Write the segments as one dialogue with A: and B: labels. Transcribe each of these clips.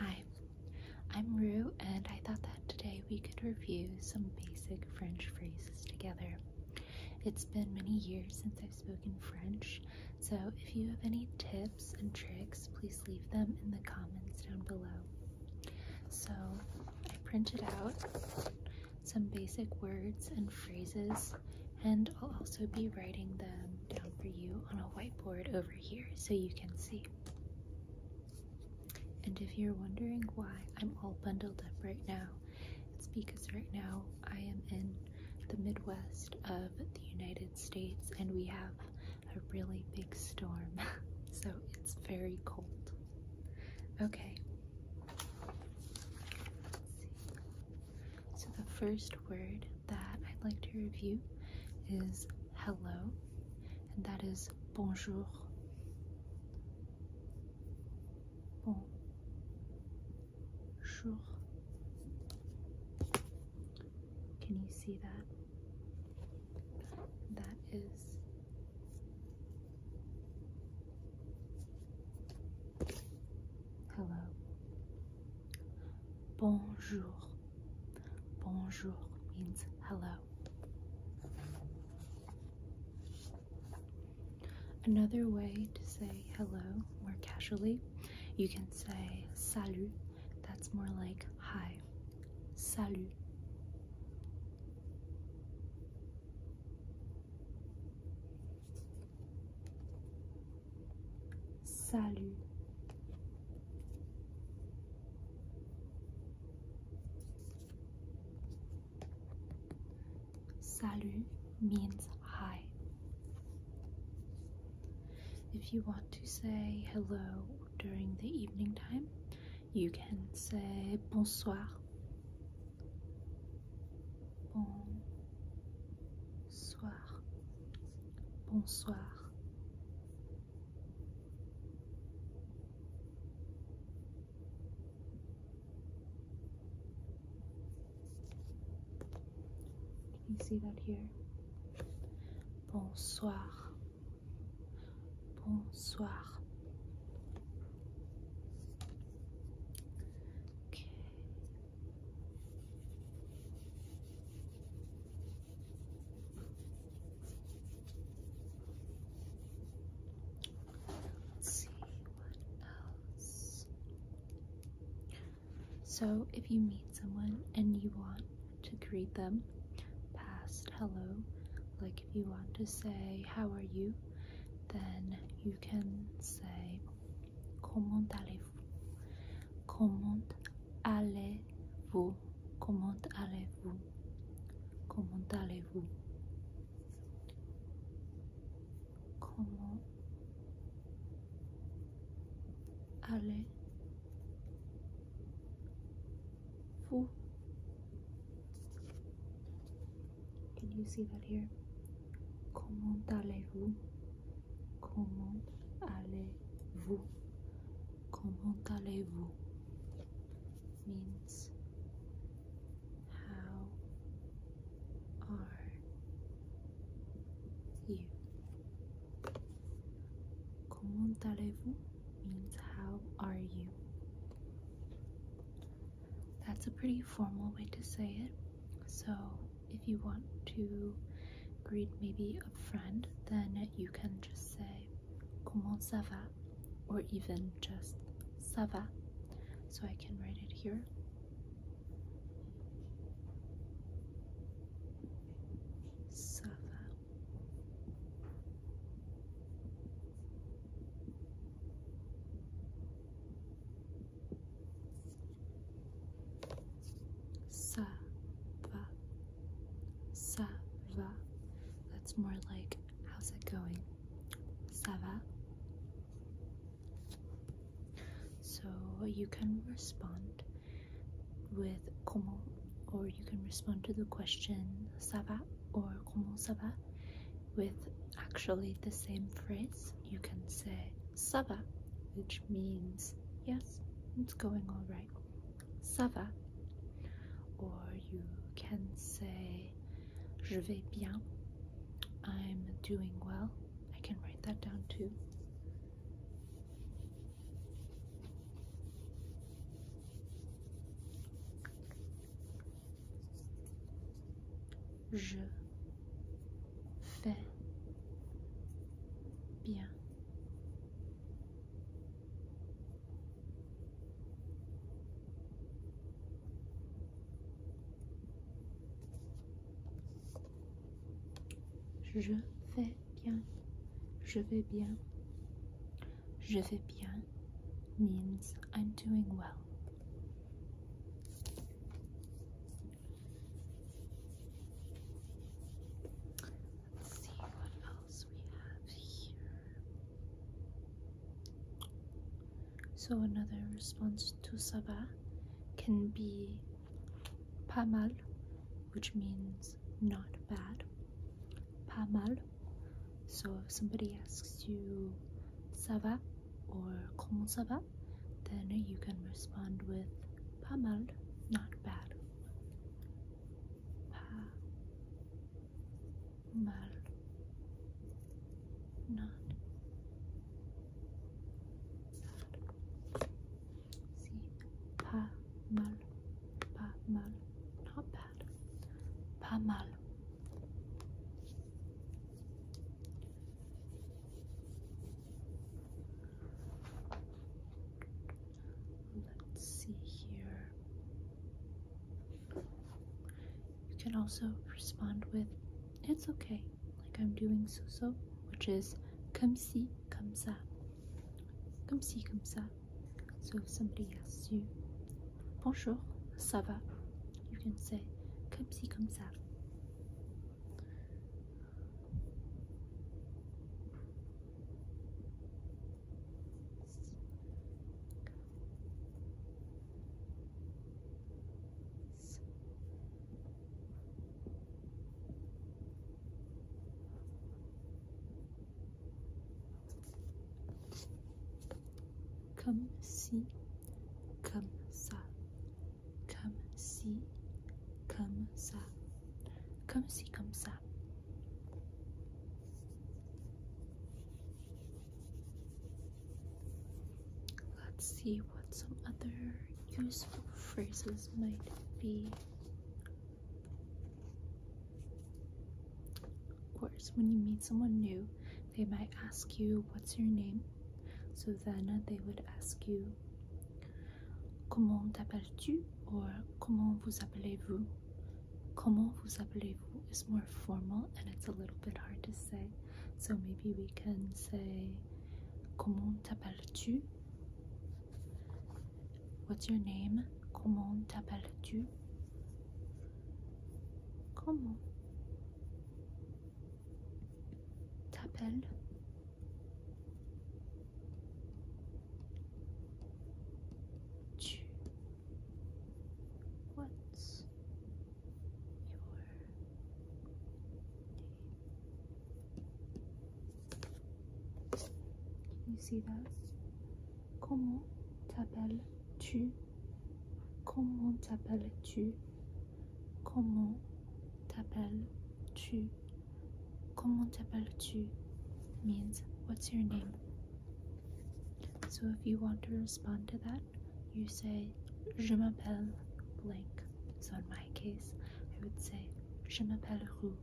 A: Hi, I'm Rue, and I thought that today we could review some basic French phrases together. It's been many years since I've spoken French, so if you have any tips and tricks, please leave them in the comments down below. So, I printed out some basic words and phrases, and I'll also be writing them down for you on a whiteboard over here here so you can see. And if you're wondering why I'm all bundled up right now, it's because right now I am in the Midwest of the United States and we have a really big storm, so it's very cold. Okay. So the first word that I'd like to review is hello, and that is bonjour. Bonjour. Can you see that? That is hello. Bonjour. Bonjour means hello. Another way to say hello more casually, you can say salut. That's more like hi. Salut. Salut. Salut means hi. If you want to say hello during the evening time, you can say bonsoir. Bonsoir. Bonsoir. Can you see that here? Bonsoir. Bonsoir. Okay. So, if you meet someone and you want to greet them past hello, like if you want to say, How are you? then you can say, Comment allez Comment allez-vous Comment allez-vous Comment allez-vous Comment allez-vous Can you see that here? Comment allez-vous Comment allez-vous? Comment allez-vous? Means how are you? Comment allez-vous? Means how are you? That's a pretty formal way to say it. So if you want to greet maybe a friend, then you can just say comment ça va or even just ça va. So I can write it here. Ça va. Sava, va. That's more like, how's it going? Ça So you can respond with comment, or you can respond to the question sava or comment sava with actually the same phrase. You can say sava which means yes, it's going all right. Sava, or you can say je vais bien. I'm doing well. I can write that down too. Je fais bien. Je vais bien, je vais bien, je vais bien means I'm doing well. Let's see what else we have here. So another response to Sabah can be pas mal, which means not bad. Pas mal. So if somebody asks you ça or comment ça then you can respond with pas mal, not bad. Par. Mal. Not. Bad. See, pas mal, pas mal, not bad, pas mal. Let's see here. You can also respond with, it's okay, like I'm doing so so, which is come see, come sa. Come see, come sa. So if somebody asks you, bonjour, ça va, you can say, "Come see, come ça. Come si, come ça, Come see, come ça. come see, come ça. Let's see what some other useful phrases might be. Of course, when you meet someone new, they might ask you, What's your name? So then they would ask you, Comment t'appelles-tu ou euh, comment vous appelez-vous? Comment vous appelez-vous is more formal and it's a little bit hard to say. So maybe we can say Comment t'appelles-tu? What's your name? Comment t'appelles-tu? Comment t'appelles Comment t'appelles-tu? Comment t'appelles-tu? Comment t'appelles-tu? tu? Comment t'appelles-tu? means what's your name? So if you want to respond to that, you say Je m'appelle blank. So in my case, I would say Je m'appelle Roux.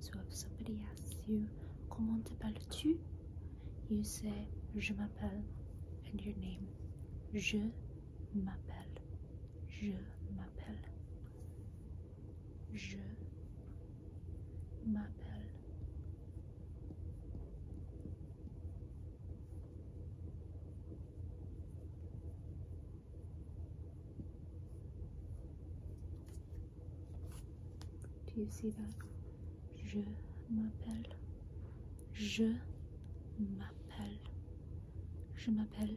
A: So if somebody asks you Comment parle tu You say Je m'appelle and your name. Je m'appelle. Je m'appelle. Je m'appelle. Do you see Je m'appelle. Je m'appelle. Je m'appelle.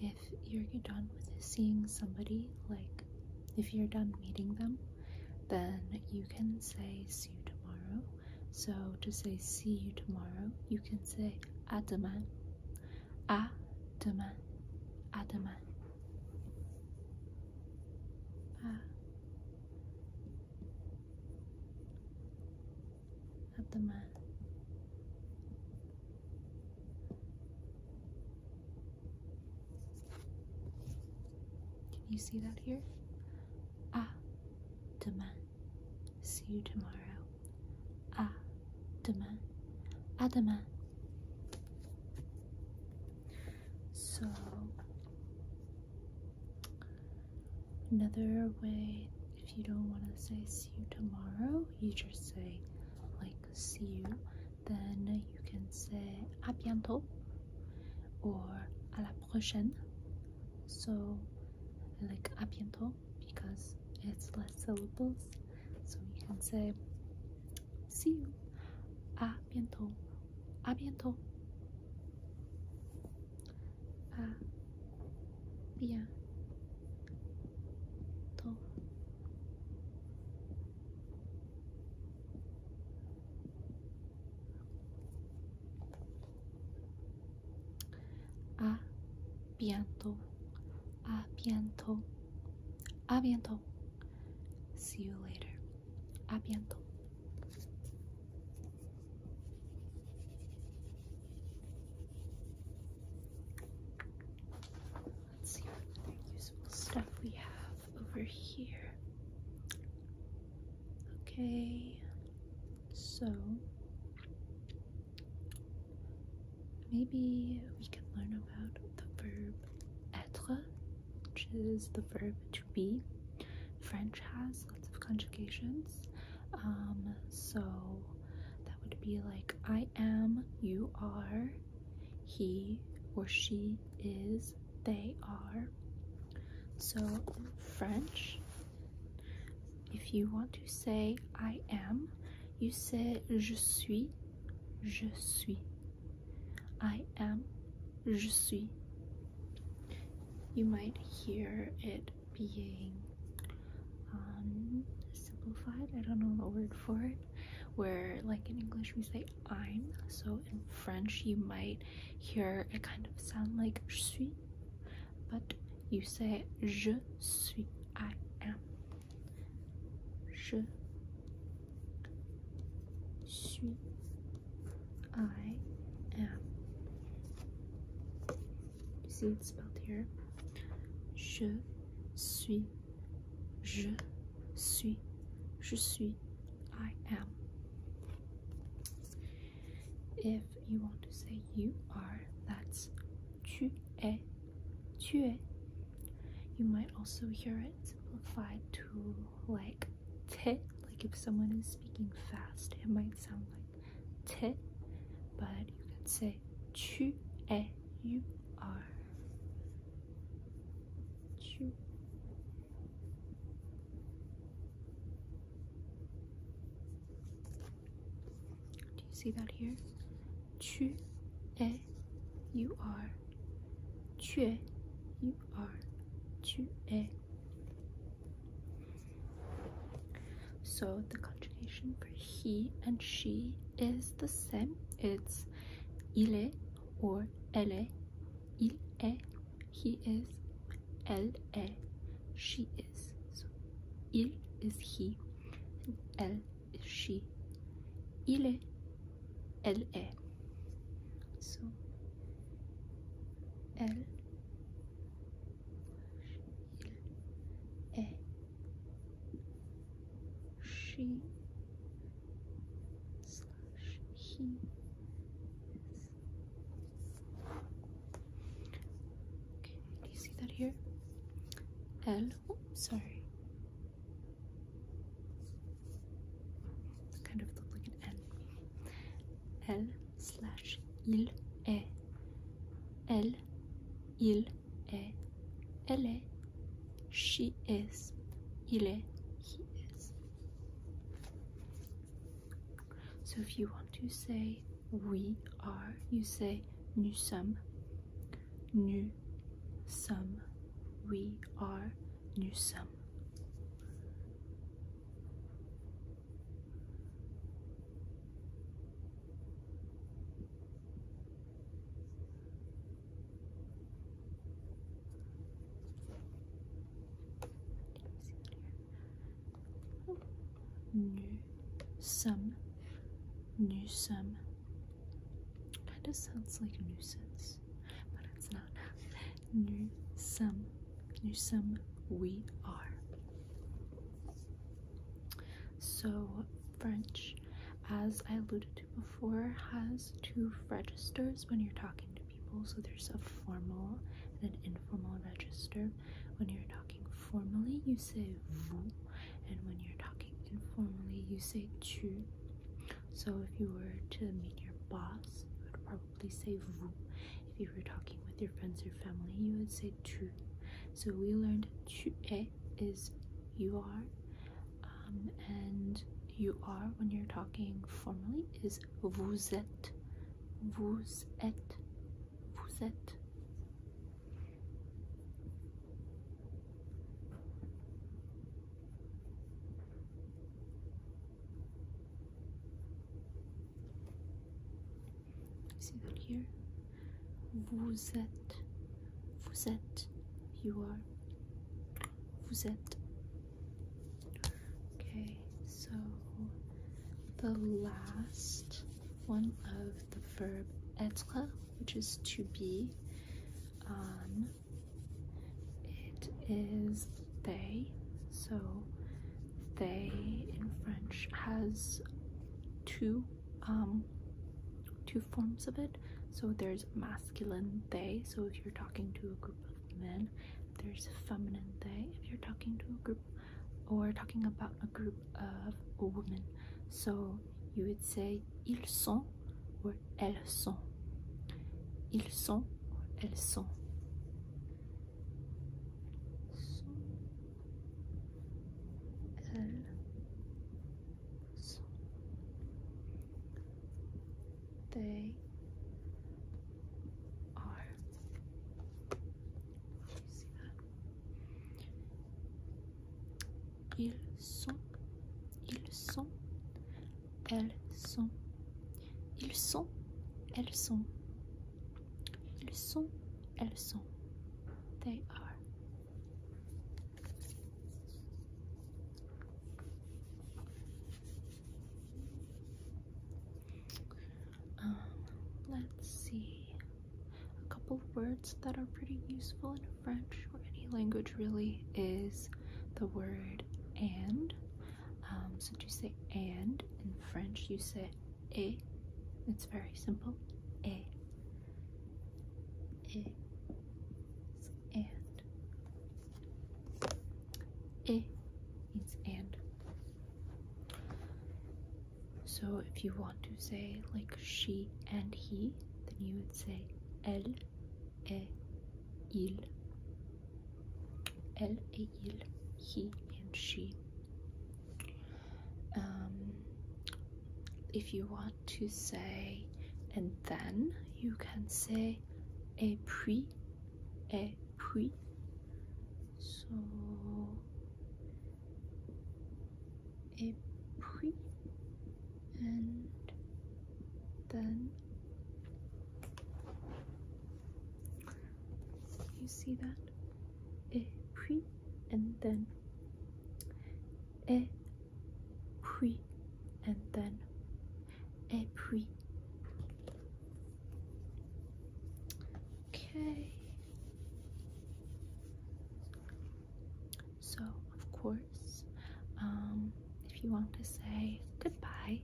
A: if you're done with seeing somebody, like if you're done meeting them, then you can say see you tomorrow. So to say see you tomorrow, you can say à demain, à demain, à À of the man. Can you see that here? Ah, demain. See you tomorrow. Ah, demain. Ah, demain. So, another way if you don't want to say see you tomorrow, you just say like see you. Then you can say à bientôt or à la prochaine. So like à bientôt because it's less syllables. So you can say see you. À bientôt. À bientôt. À bien. とあビアントあビアントあビアント See you later あビアント Let's see what other useful stuff we have over here. Okay, so maybe we can learn about the verb être, which is the verb to be. French has lots of conjugations, um, so that would be like I am, you are, he or she is, they are. So in French, if you want to say I am, you say je suis, je suis. I am, je suis. You might hear it being um, simplified. I don't know the word for it. Where, like in English, we say I'm. So in French, you might hear it kind of sound like je but you say je suis. I am. Je suis. I am. You see it's spelled here. Je suis. Je suis. Je suis. I am. If you want to say you are, that's tu es. Tu es. You might also hear it simplified to like te. Like if someone is speaking fast, it might sound like te, but you can say tu es, you are. Tu. Do you see that here? Tu are. Tu es, you are. So the conjugation for he and she is the same. It's ille or elle est. Il est, he is, elle est, she is. So il is he and elle is she. Il elle est. So elle, il est she slash he Okay, do you see that here? L, sorry. Kind of looked like an L. L il est. Eh. il est, elle she is, il he is. So if you want to say we are, you say nous sommes, nous sommes, we are, nous sommes. New some, new some. Kind of sounds like nuisance, but it's not. New some, new some. We are. So French, as I alluded to before, has two registers when you're talking to people. So there's a formal and an informal register. When you're talking formally, you say vous, and when you're talking informally, you say tu. So if you were to meet your boss, you would probably say vous. If you were talking with your friends or family, you would say so we learned tu eh, is you are, um, and you are when you're talking formally is vous êtes, vous êtes, vous êtes see that here vous êtes vous êtes you are vous êtes okay so the last one of the verb être which is to be um it is they so they in french has two um two forms of it. So there's masculine they, so if you're talking to a group of men, there's feminine they if you're talking to a group or talking about a group of women. So you would say ils sont or elles sont. Ils sont elles sont. elles sont they ils sont ils sont elles sont ils sont elles sont They are. Um, let's see. A couple of words that are pretty useful in French or any language really is the word and. Um, so to say and in French, you say a. It's very simple. A. A. It's and. A means and. So if you want to say like she and he, then you would say elle et il. Elle il, he and she. Um, if you want to say and then you can say et puis et puis so et puis and then you see that et puis and then et puis, and then, et puis. Okay. So, of course, um, if you want to say goodbye,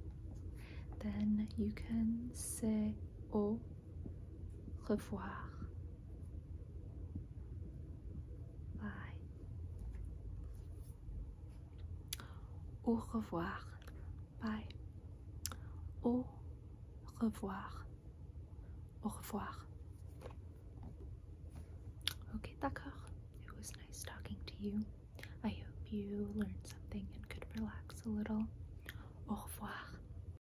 A: then you can say oh revoir. Bye. Au revoir. Bye. Au revoir. Au revoir. Okay, d'accord. It was nice talking to you. I hope you learned something and could relax a little. Au revoir.